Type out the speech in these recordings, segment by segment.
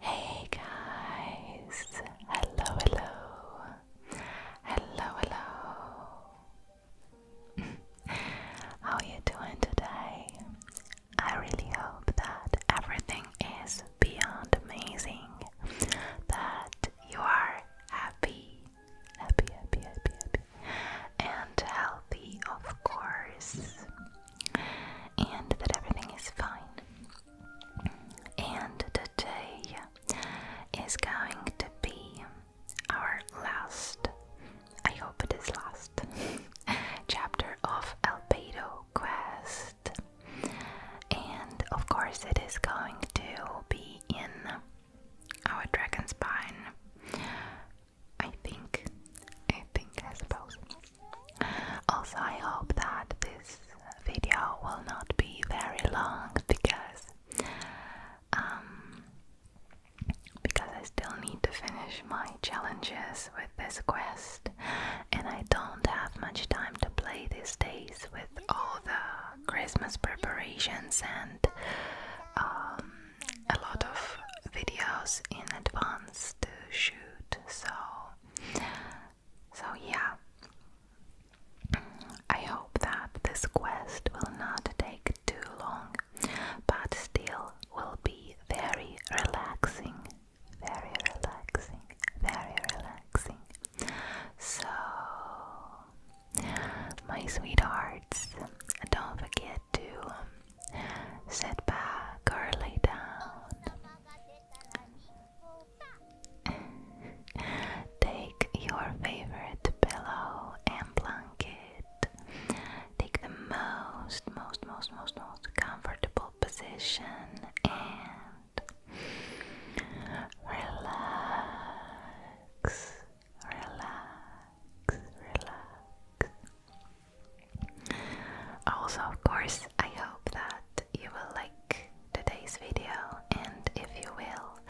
Hey guys, hello, hello, hello, hello. How are you doing today? I really hope that everything is beyond amazing, that you are happy, happy, happy, happy, happy, and healthy, of course and that everything is fine. And today is going to be our last, I hope it is last, chapter of Albedo Quest. And of course, it is going to be in our Dragonspine I think. I think, I suppose. Also, I hope that this video will not be very long because, um, because I still need to finish my challenges with this quest, and I don't have much time to play these days with all the Christmas preparations and um, a lot of videos in advance to shoot, so so yeah. I hope that this quest will not take too long, but still will be very relaxing, very relaxing, very relaxing. So, my sweethearts, don't forget to um, Sit back or lay down. Take your favorite pillow and blanket. Take the most, most, most, most, most comfortable position and relax, relax, relax. Also, of course, I hope that you will like today's video, and if you will,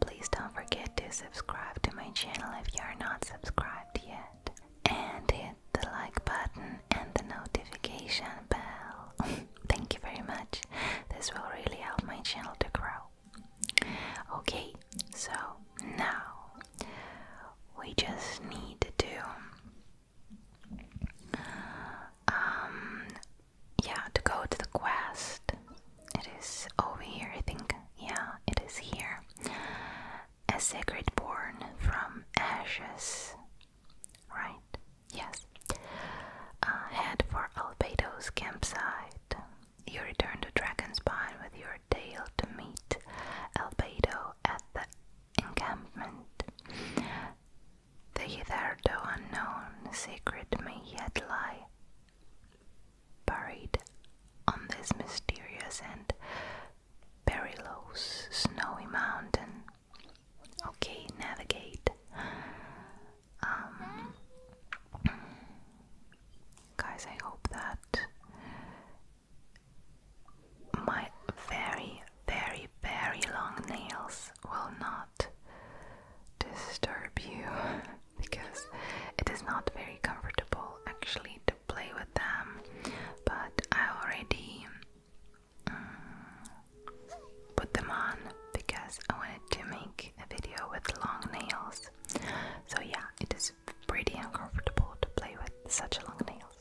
please don't forget to subscribe to my channel if you are not subscribed yet, and hit the like button and the notification bell. Thank you very much. This will really help my channel to grow. Okay, so now we just need to, um, yeah, to go to the quest. It is over here, I think. Yeah, it is here. A sacred born from ashes. Right? Yes. head for Albedo's campsite. You return to Dragonspine with your tail to meet Albedo at the encampment. The hitherto unknown secret may yet lie buried on this mysterious and perilous snowy mountain. Okay, navigate. Um, guys, I hope that my very, very, very long nails will not disturb you because it is not very comfortable actually to play with them, but I already mm, put them on because I wanted to make a video with long nails. So, yeah, it is pretty uncomfortable to play with such long nails.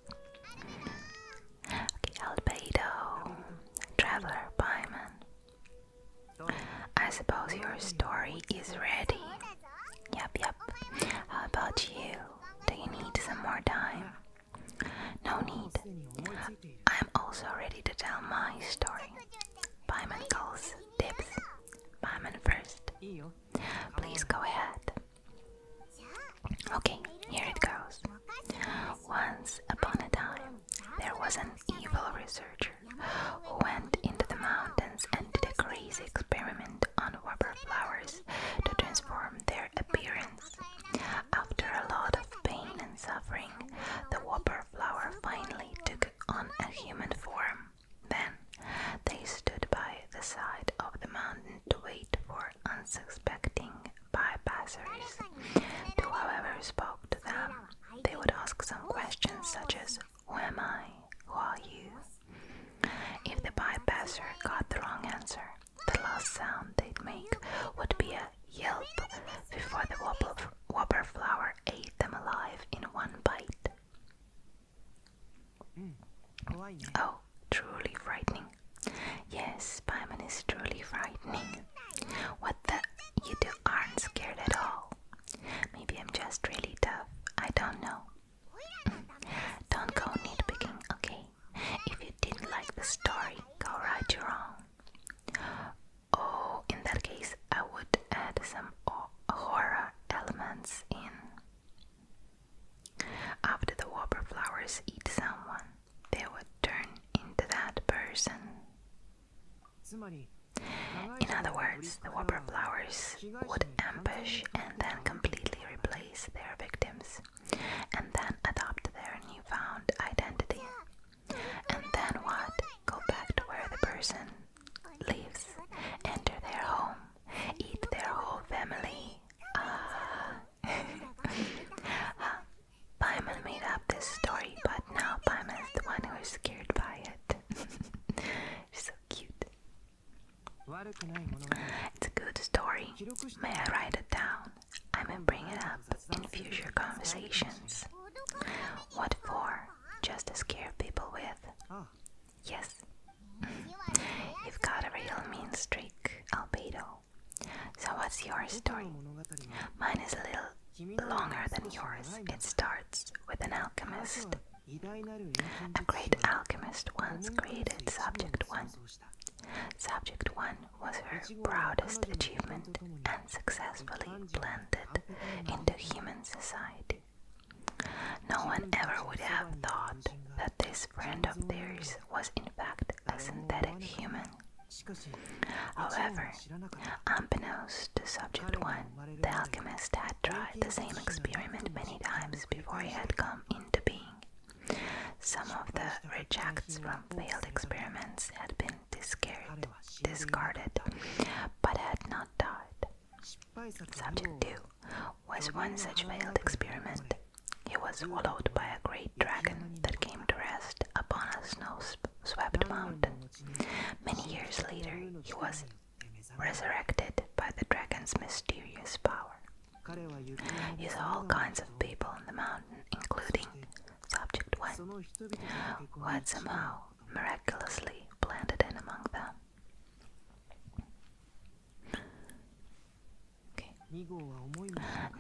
Okay, Albedo, Traveler Pyman. I suppose your story is ready. Yep, yep. How about you? Do you need some more time? No need. I'm also ready to tell my story. Pyman calls dibs. Pyman first. Please go ahead. Okay, here it goes. Once upon a time, there was an evil researcher who went into the mountains and did a crazy experiment on rubber flowers to transform their appearance. After a lot of pain and suffering, the whopper flower finally took on a human form. Then, they stood by the side of the mountain to wait for unsuspecting bypassers, who, however, spoke to them. They would ask some questions such as, Who am I? Who are you? If the bypasser got the wrong answer, the last sound they'd make would be a yelp before the wobble, whopper ate them alive in one bite. Mm. Oh, truly frightening. Yes, Paimon is truly frightening. What the? You two aren't scared at all. Maybe I'm just really tough. I don't know. don't go nitpicking, okay? If you didn't like the story, go right your own. Oh, in that case, I would add some horror elements in. After the whopper flowers eat someone, they would turn into that person. In other words, the whopper flowers would ambush and then completely replace their victims, and then adopt their newfound identity. And then what? Go back to where the person lives, enter their home, eat their whole family. Ah. uh, Paimon made up this story, but now Paimon's the one who is scared by it. so cute. It's a good story. May I write it down? I may bring it up in future conversations. What for? Just to scare people with. Yes, you've got a real mean streak, Albedo. So, what's your story? Mine is a little longer than yours. It starts with an alchemist. A great alchemist once created Subject 1. Subject 1 was her proudest achievement and successfully blended into human society. No one ever would have thought that this this friend of theirs was in fact a synthetic human. However, unbeknownst to Subject 1, the alchemist had tried the same experiment many times before he had come into being. Some of the rejects from failed experiments had been discarded, discarded but had not died. Subject 2 was one such failed experiment he was swallowed by a great dragon that came to rest upon a snow-swept mountain. Many years later, he was resurrected by the dragon's mysterious power. He saw all kinds of people on the mountain, including Subject 1, who had somehow miraculously blended in among them.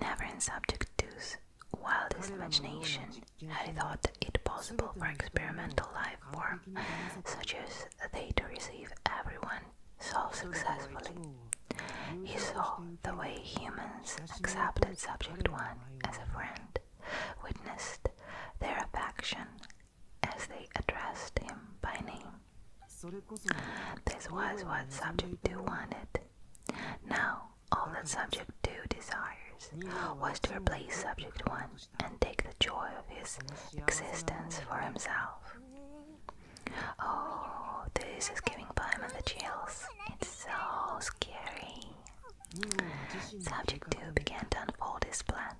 Never in subject two's wildest imagination had he thought it possible for experimental life form such as they to receive everyone so successfully. He saw the way humans accepted subject one as a friend, witnessed their affection as they addressed him by name, this was what subject 2 wanted. Now, all that subject 2 desires was to replace subject 1 and take the joy of his existence for himself. Oh, this is giving Paimon the chills. It's so scary. Subject 2 began to unfold his plan.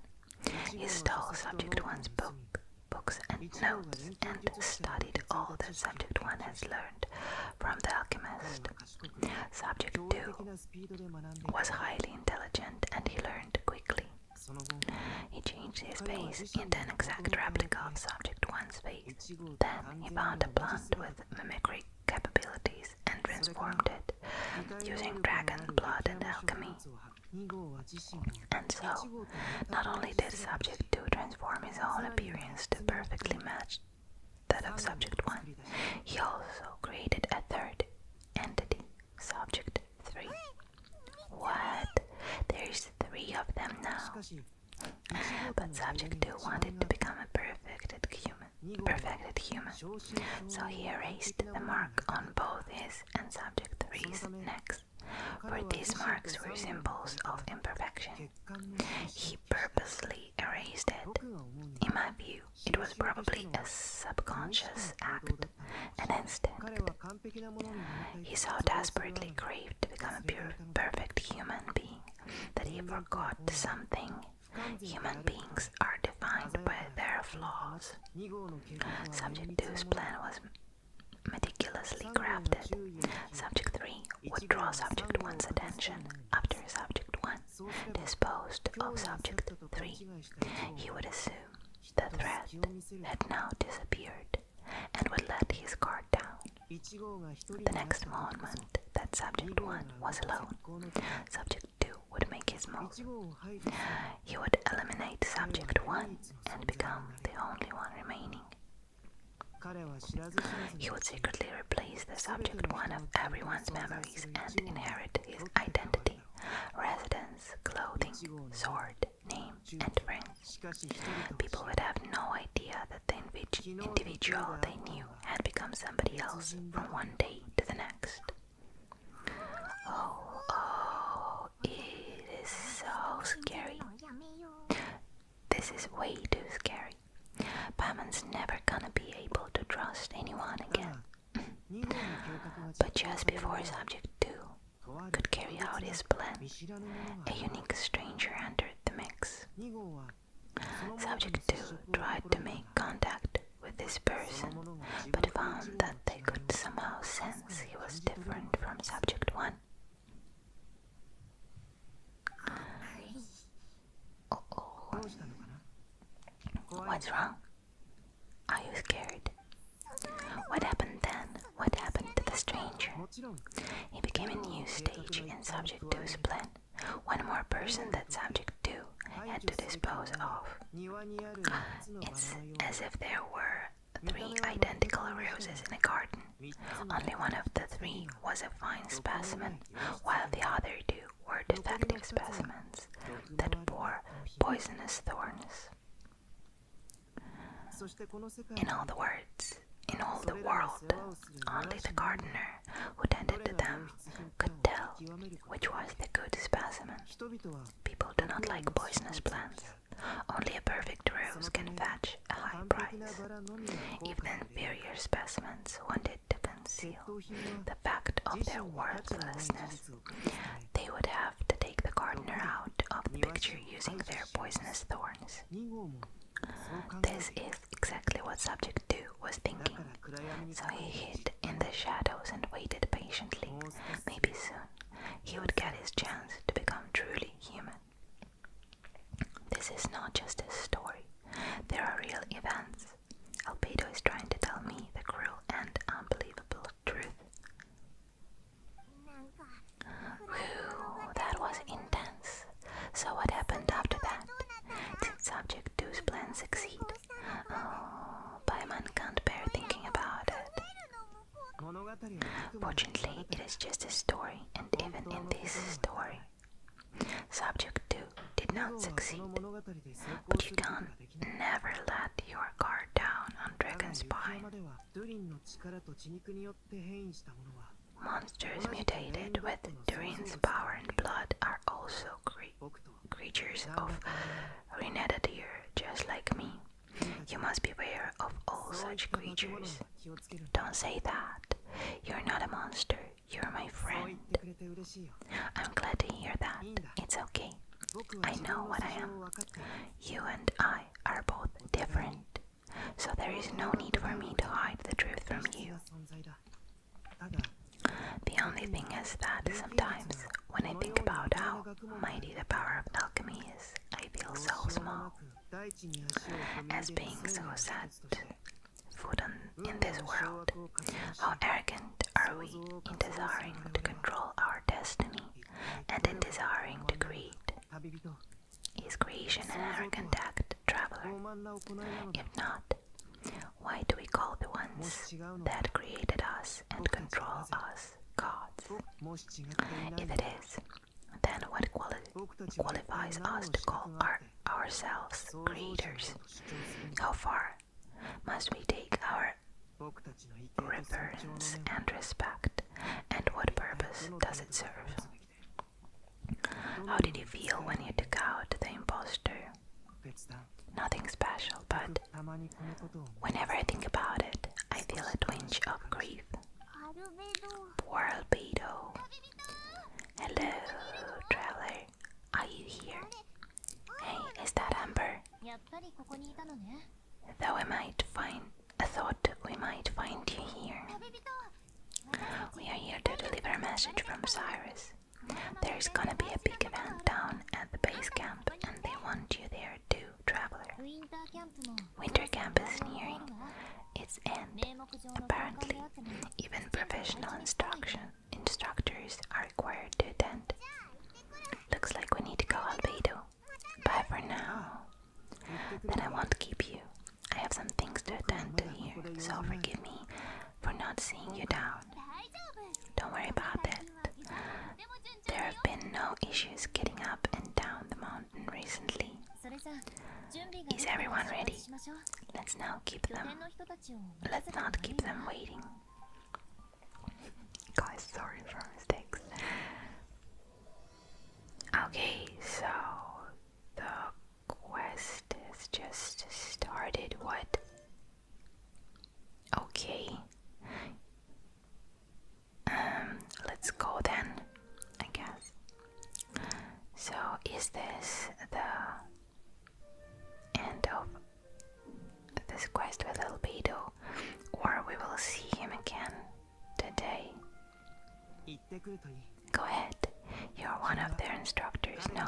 He stole Subject 1's book books and notes and studied all the subject 1 has learned from the alchemist. Subject 2 was highly intelligent and he learned quickly. He changed his face into an exact replica of subject 1's face. Then he found a plant with mimicry capabilities and transformed it using dragon blood and alchemy. And so, not only did subject 2 transform his own appearance to perfectly match that of subject 1, he also created a third entity, subject 3. What? There's three of them now. But subject 2 wanted to become a perfected human, perfected human. So he erased the mark on both his and subject 3's necks for these marks were symbols of imperfection. He purposely erased it. In my view, it was probably a subconscious act, an instinct. He so desperately craved to become a pure, perfect human being that he forgot something. Human beings are defined by their flaws. Subject 2's plan was Meticulously crafted. Subject 3 would draw subject 1's attention after subject 1 disposed of subject 3. He would assume the threat had now disappeared and would let his guard down. The next moment that subject 1 was alone, subject 2 would make his move. He would eliminate subject 1 and become the only one remaining. He would secretly replace the subject one of everyone's memories and inherit his identity, residence, clothing, sword, name, and friends. People would have no idea that the individual they knew had become somebody else from one day to the next. Oh, oh, it is so scary. This is way too scary. Pamon's never gonna be able to trust anyone again. but just before Subject 2 could carry out his plan, a unique stranger entered the mix. Subject 2 tried to make contact with this person, but found that they could somehow sense he was different from Subject 1 oh. What's wrong? Are you scared? What happened then? What happened to the stranger? He became a new stage and subject to his plan. One more person that subject to had to dispose of. It's as if there were three identical roses in a garden. Only one of the three was a fine specimen, while the other two were defective specimens that bore poisonous thorns. In all the words, in all the world, only the gardener who tended to them could tell which was the good specimen. People do not like poisonous plants. Only a perfect rose can fetch a high price. If the inferior specimens wanted to conceal the fact of their worthlessness. They would have to take the gardener out of the picture using their poisonous thorns. This is exactly what Subject 2 was thinking, so he hid in the shadows and waited patiently. Maybe soon he would get his chance to become truly human. This is not just a story, there are real events. Albedo is trying to tell me the cruel and unbelievable truth. Whew, that was intense. So, what happened after that? Did Subject 2's plan succeed? Oh, Paimon can't bear thinking about it. Fortunately, it is just a story, and even in this story, subject 2 did not succeed. But you can never let your guard down on Dragon's Spine. Monsters mutated with Durin's power and blood are also creatures of Renedadir, just like me. You must beware of all such creatures. Don't say that. You're not a monster. You're my friend. I'm glad to hear that. It's okay. I know what I am. You and I are both different, so there is no need for me to hide the truth from you. The only thing is that sometimes, when I think about how mighty the power of alchemy is, I feel so small as being so sad food in this world. How arrogant are we in desiring to control our destiny and in desiring to create? Is creation an arrogant act, traveler? If not, why do we call the ones that created us and control us gods? If it is, then what qualifies us to call our, ourselves creators? How far must we take our reverence and respect, and what purpose does it serve? How did you feel when you took out the impostor? Nothing special, but whenever I think about it, I feel a twinge of grief. Poor Albedo. Hello, traveler. Are you here? Hey, is that Amber? Though I might find, I thought we might find you here. We are here to deliver a message from Cyrus. There is gonna be a big event down at the base camp, and they want you there too, traveler. Winter camp is nearing its end. Apparently, even professional instructors are required to attend. Looks like we need to go, Albedo. Bye for now. Then I won't keep you. I have some things to attend to here, so forgive me for not seeing you down. Don't worry about it. There have been no issues getting up and down the mountain recently. Is everyone ready? Let's now keep them. Let's not keep them waiting. Guys, sorry for mistakes. Okay, so the quest has just started. What? Okay. Um, let's go then, I guess. So, is this the end of this quest with Albedo, or we will see him again today? Go ahead, you're one of their instructors, no?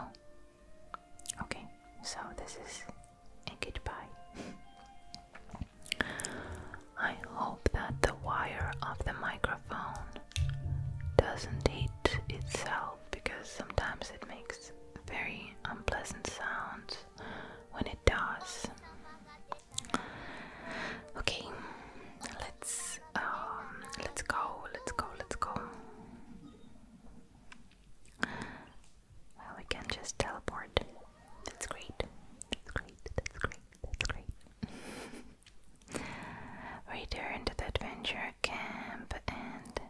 Okay, so this is a goodbye. I hope that the wire of the microphone doesn't hit itself because sometimes it makes very unpleasant sounds when it does. Okay, let's um, let's go, let's go, let's go. we can just teleport. That's great. That's great. That's great. That's great. Return to the adventure camp, and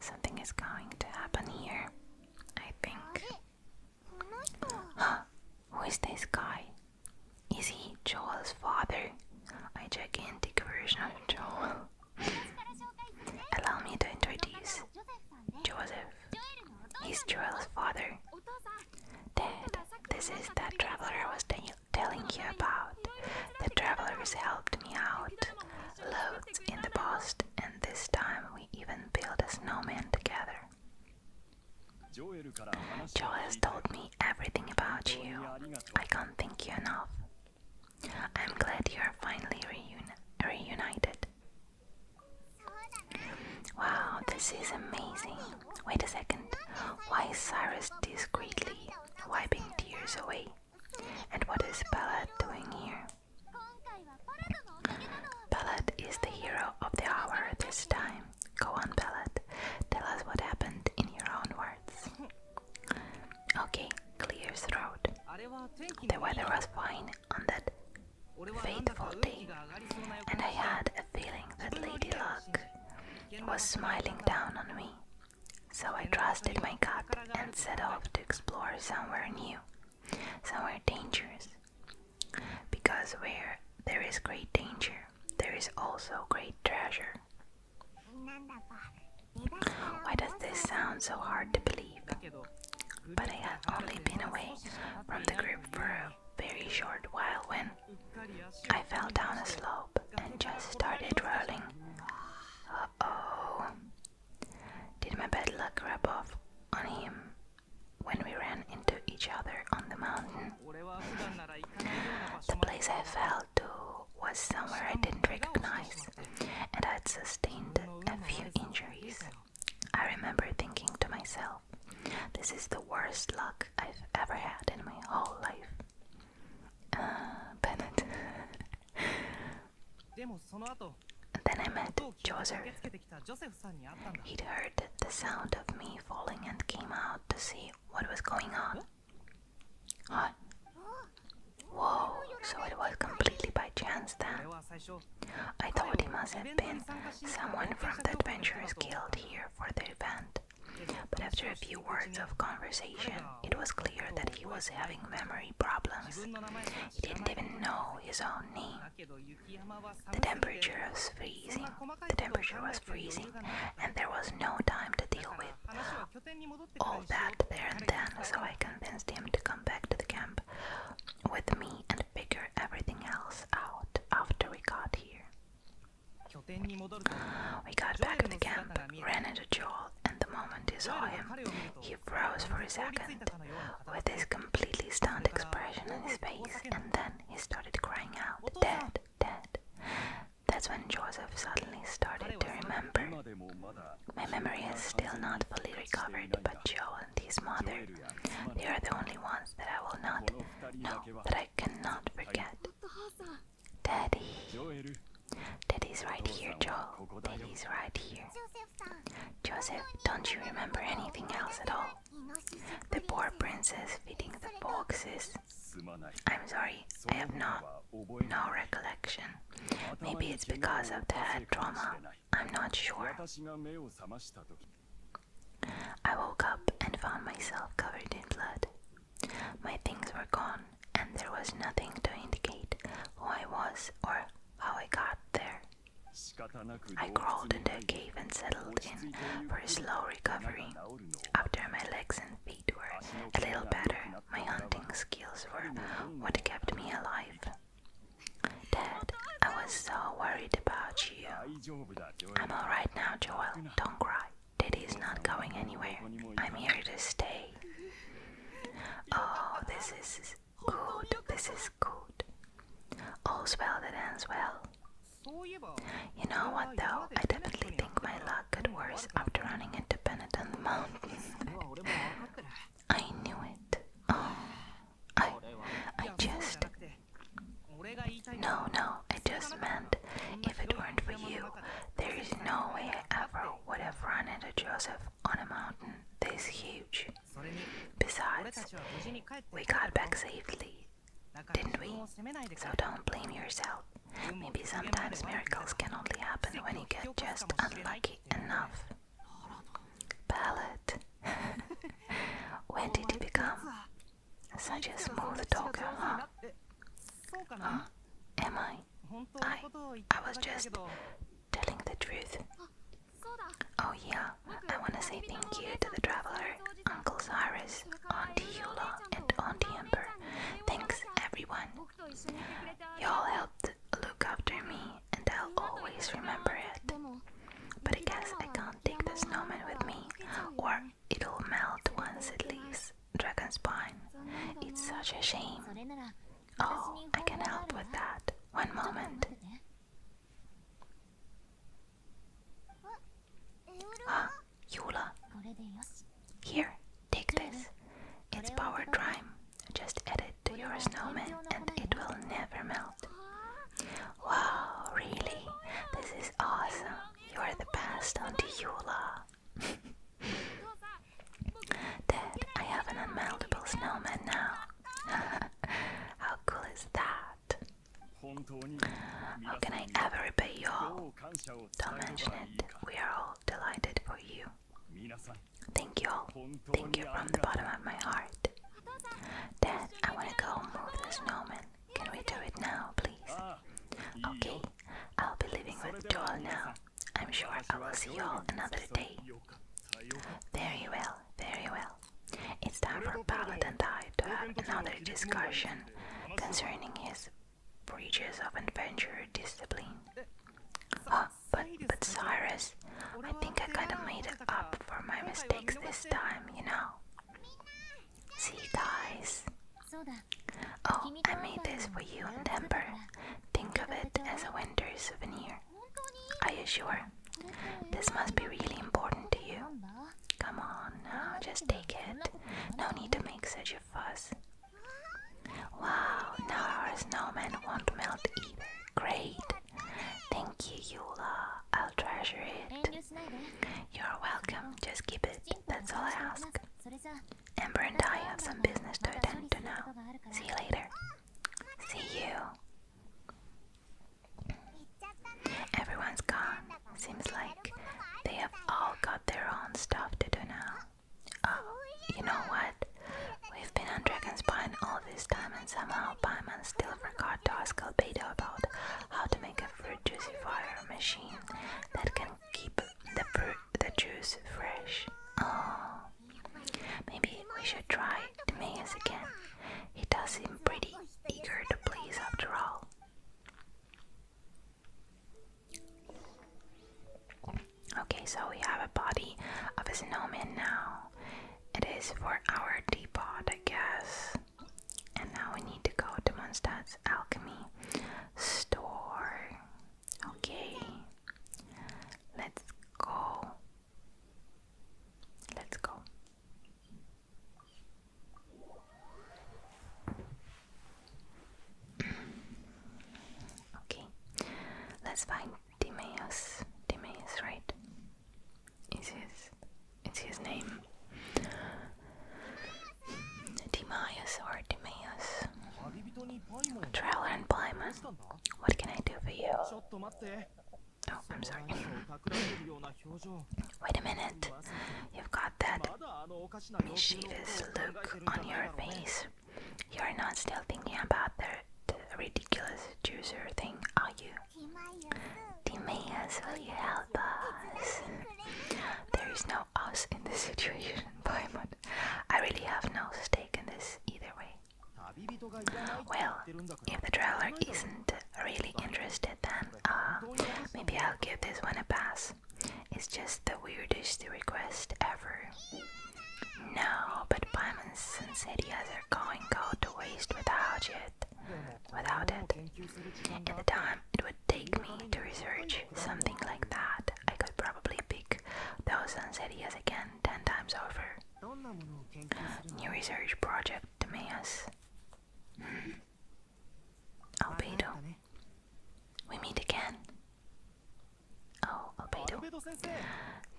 something is going to happen here. I think. Huh? Who is this guy? Is he Joel's father? A gigantic version of Joel. Allow me to introduce Joseph. He's Joel's father. Dad, this is that traveler I was telling you about. The traveler has helped me out loads in the past, and this time we even built a snowman together. Joe has told me everything about you. I can't thank you enough. I'm glad you are finally reunited. Wow, this is amazing. Wait a second. Why is Cyrus discreetly wiping tears away? And what is Ballad doing here? Ballad is the hero of the hour this time. Go on, Ballad. Tell us what happened in your own words. Okay, clear throat. The weather was fine on that fateful day, and I had a feeling that Lady Luck was smiling down on me. So I trusted my gut and set off to explore somewhere new, somewhere dangerous. Because where there is great danger, there is also great treasure. Why does this sound so hard to believe? But I had only been away from the group for a very short while when I fell down a slope and just started rolling. oh. Did my bad luck rub off on him when we ran into each other on the mountain? the place I fell to was somewhere I didn't recognize, and I'd sustained a few injuries. I remember thinking to myself, this is the worst luck I've ever had in my whole life. Uh, Bennett. then I met Joseph. He'd heard the sound of me falling and came out to see what was going on. What? Whoa, so it was completely by chance then. I thought he must have been Someone from the Adventurers Guild here for the event, but after a few words of conversation, it was clear that he was having memory problems. He didn't even know his own name. The temperature was freezing. The temperature was freezing, and there was no time to deal with all that there and then, so I convinced him to come back to the camp with me and figure everything else out after we got here. We got back to the camp, ran into Joel, and the moment he saw him, he froze for a second, with his completely stunned expression on his face, and then he started crying out, "Dead, dead!" That's when Joseph suddenly started to remember. My memory is still not fully recovered, but Joel and his mother, they are the only ones that I will not know that I I cannot forget. Daddy. Daddy's right here, Joel. Daddy's right here. Joseph, don't you remember anything else at all? The poor princess feeding the foxes. I'm sorry, I have no, no recollection. Maybe it's because of the head trauma. I'm not sure. I woke up and found myself covered in blood. My things were gone, and there was nothing to indicate who I was or how I got there. I crawled into a cave and settled in for a slow recovery. After my legs and feet were a little better, my hunting skills were what kept me alive. Dad, I was so worried about you. I'm alright now, Joel. Don't cry. Daddy is not going anywhere. I'm here to stay. Oh, this is good. This is good. All's well that ends well. You know what though? I definitely think my luck got worse after running into Bennett on the mountain. I knew it. Oh, I, I just no, no, I just meant if it weren't for you, there is no way I ever would have run into Joseph on a mountain this huge. Besides, we got back safely, didn't we? So don't blame yourself. Maybe sometimes miracles can only happen when you get just unlucky enough. Palette. when did he become such a smooth talker, huh? Huh? Am I? I, I was just telling the truth. Oh yeah, I want to say thank you to the traveler, Uncle Cyrus, Auntie Yula, and Auntie Ember. Thanks, everyone. Y'all helped look after me, and I'll always remember it. But I guess I can't take the snowman with me, or It'll melt once it leaves Dragonspine. It's such a shame. Oh, I can help with that. One moment. Ah, Yula. Here, take this. It's power dryme. Just add it to your snowman and it will never melt. Wow, really? This is awesome. You are the best, Auntie Eula. Dad, I have an unmeltable snowman now. How cool is that? How can I ever repay you all? Don't mention it. We are all delighted for you. Thank you all. Thank you from the bottom of my heart. Dad, I want to go move the snowman. Can we do it now, please? Okay, I'll be leaving with y'all now. I'm sure I will see you all another day. Very well, very well. It's time for Paladin and I to have another discussion concerning his breaches of adventure discipline. Oh, but, but Cyrus, I think I kinda made up for my mistakes this time, you know? See you guys. Oh, I made this for you in Denver. Think of it as a winter souvenir. Are you sure? This must be really important to you. Come on now, just take it. No need to make such a fuss. Wow, now our snowman won't melt either. Great. Thank you, Yula. I'll treasure it. You're welcome. Just keep it. That's all I ask. Amber and I have some business to attend to now. See you later. See you. Everyone's gone. Seems like they have all got their own stuff to do now. Oh, you know what? We've been on Dragon's Pine all this time and somehow Paimon still forgot to ask Albedo about how to make a fruit juicifier machine that can keep the fruit, the juice fresh. Oh, maybe we should try Timaeus again. He does seem pretty eager to please after all. Okay, so we have a body of a snowman now. It is for our depot, I guess. And now we need to go to Mondstadt's alchemy store. Okay. Let's go. Let's go. okay. Let's find Timaeus. Timaeus, right? Is his it's his name. Timaeus or Timaeus. Traveler and Plyman. What can I do for you? Oh, I'm sorry. Wait a minute. You've got that mischievous look on your face. You're not still thinking about the, ridiculous juicer thing, are you? You will you help us? There is no us in this situation, Paimon. I really have no stake in this either way. Well, if the traveler isn't really interested, then uh, maybe I'll give this one a pass. It's just the weirdest request ever. No, but Paimon, since ideas are going to go to waste without it, Without it, in the time it would take me to research something like that, I could probably pick thousands of ideas again ten times over. New research project, Timaeus. Hmm. Albedo, we meet again. Oh, Albedo.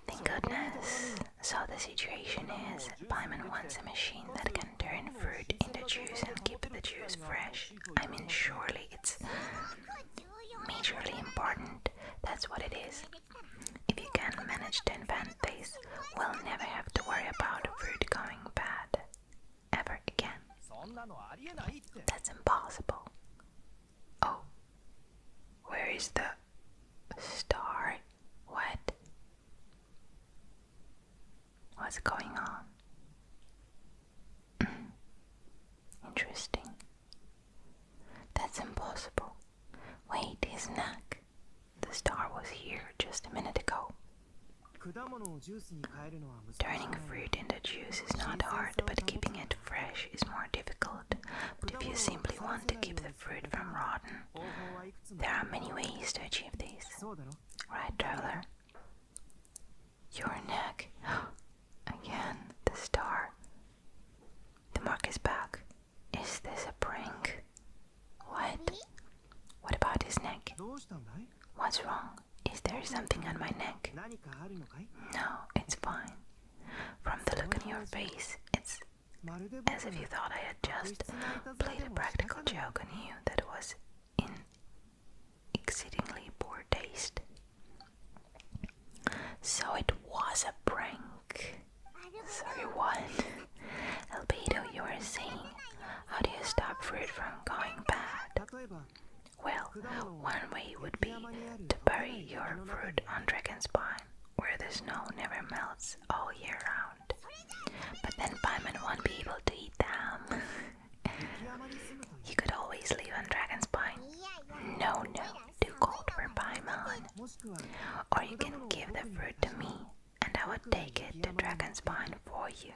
Thank goodness. So the situation is says wants a machine that can turn fruit into juice and keep the juice fresh. I mean, surely it's majorly important. That's what it is. If you can manage to invent this, we'll never have to worry about fruit going bad ever again. That's impossible. Oh, where is the star? What? What's going on? Interesting. That's impossible. Wait, his neck. The star was here just a minute ago. Turning fruit into juice is not hard, but keeping it fresh is more difficult. But if you simply want to keep the fruit from rotting, there are many ways to achieve this. Right, traveler? Your neck. Again, the star. The mark is back. Is this a prank? What? What about his neck? What's wrong? Is there something on my neck? No, it's fine. From the look on your face, it's as if you thought I had just played a practical joke on you that was in exceedingly poor taste. So it was a prank. Sorry, what? Albedo, you were saying, how do you stop fruit from going bad? Well, one way would be to bury your fruit on dragon's spine, where the snow never melts all year round around. But then Paimon won't be able to eat them. you could always live on Dragon's Pine. No, no, too cold for Paimon. Or you can give the fruit to me, and I would take it to Dragon's Pine for you.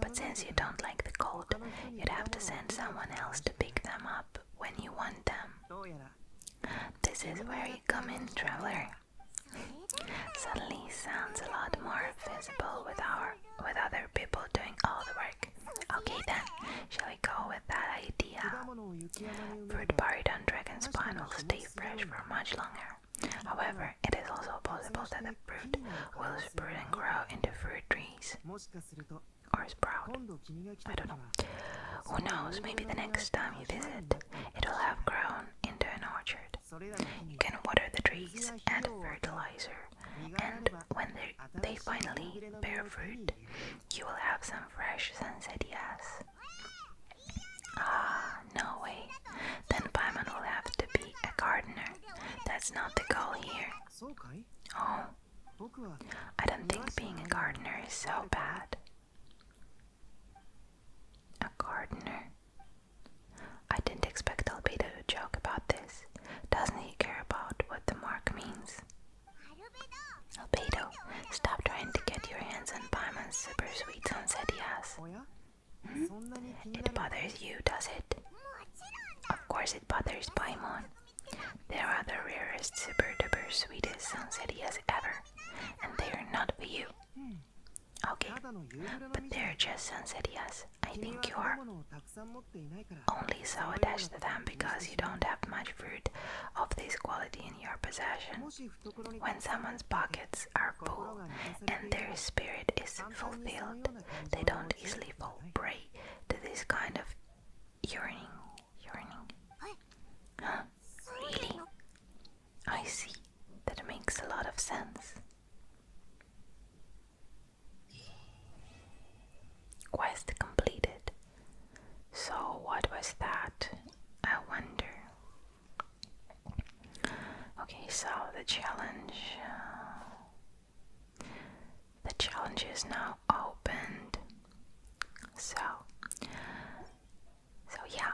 But since you don't like the cold, you'd have to send someone else to pick them up when you want them. This is where you come in, traveler. Suddenly sounds a lot more feasible with our with other people doing all the work. Okay then, shall we go with that idea? Fruit buried on dragon's spine will stay fresh for much longer. However, it is also possible that the fruit will sprout and grow into fruit trees. Or sprout. I don't know. Who knows, maybe the next time you visit, it will have grown into an orchard. You can water the trees, add fertilizer, and when they finally bear fruit, you will have some fresh sansetias. Ah, no way. Then Paimon will have to be a gardener. That's not the goal here. Oh, I don't think being a gardener is so bad. A gardener. I didn't expect Albedo to joke about this. Doesn't he care about what the mark means? Albedo, stop trying to get your hands on Paimon's super sweet sunset yes. Hmm? It bothers you, does it? Of course it bothers Paimon. They are the rarest super duper sweetest sunset yes ever, and they are not for you. Okay, but they're just sunset yes. I think you are only so attached to them because you don't have much fruit of this quality in your possession. When someone's pockets are full and their spirit is fulfilled, they don't easily fall prey to this kind of yearning. Yearning? Huh? Really? I see. That makes a lot of sense. Quest completed. So, what was that? I wonder. Okay, so the challenge. Uh, the challenge is now opened. So, so yeah,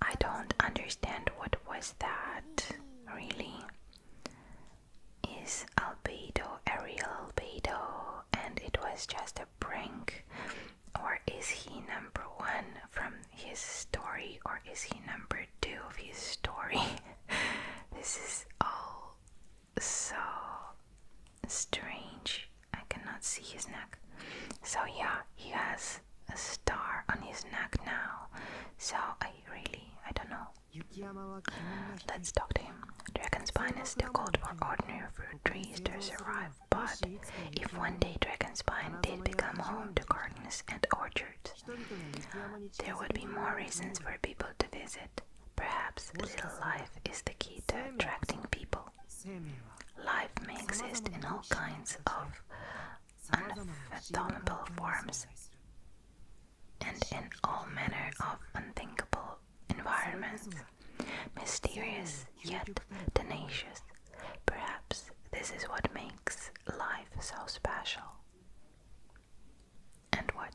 I don't understand what was that, really. Is Albedo a real Albedo and it was just a prank? Or is he number one from his story, or is he number two of his story? this is all so strange. I cannot see his neck. So, yeah, he has a star on his neck now, so I really, I don't know. Let's talk to him. Dragon's pine is too cold for ordinary fruit trees to survive, but if one day dragon's pine did become home to gardens and orchards, there would be more reasons for people to visit. Perhaps little life is the key to attracting people. Life may exist in all kinds of unfathomable forms, and in all manner of unthinkable environments, mysterious yet tenacious. Perhaps this is what makes life so special. And what?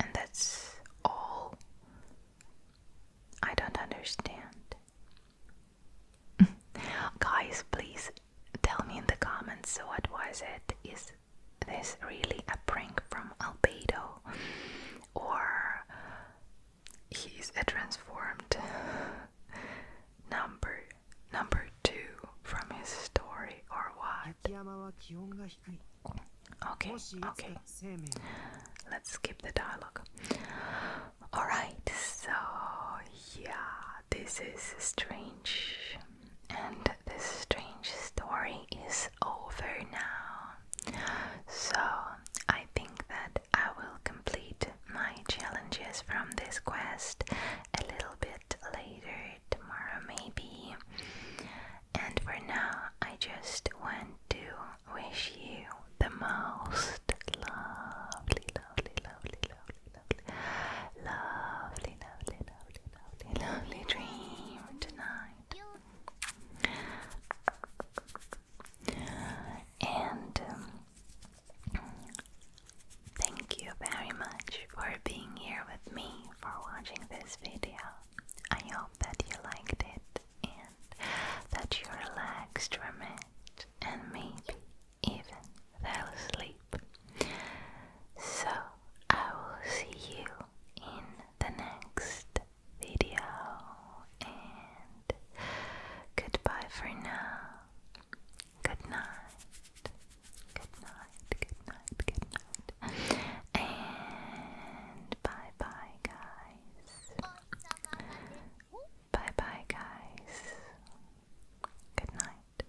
And that's all? I don't understand. Guys, please tell me in the comments so what was it? Is this really a prank from Albedo? Or he's a transformed number number two from his story or what? Okay, okay. Let's skip the dialogue. Alright, so yeah, this is strange, and this strange story is over now. So I think that I will complete my challenges from this quest a little bit later tomorrow, maybe. And for now, I just want to wish you the most lovely, lovely, lovely, lovely lovely, lovely, lovely, lovely, lovely dream tonight. And um, thank you very much for being here with me for watching this video. I hope that you liked it and that you relaxed from it and maybe even fell asleep. So I will see you in the next video and goodbye for now. Good night. Good night. Good night. Good night. And bye bye guys. Bye bye, guys. Good night.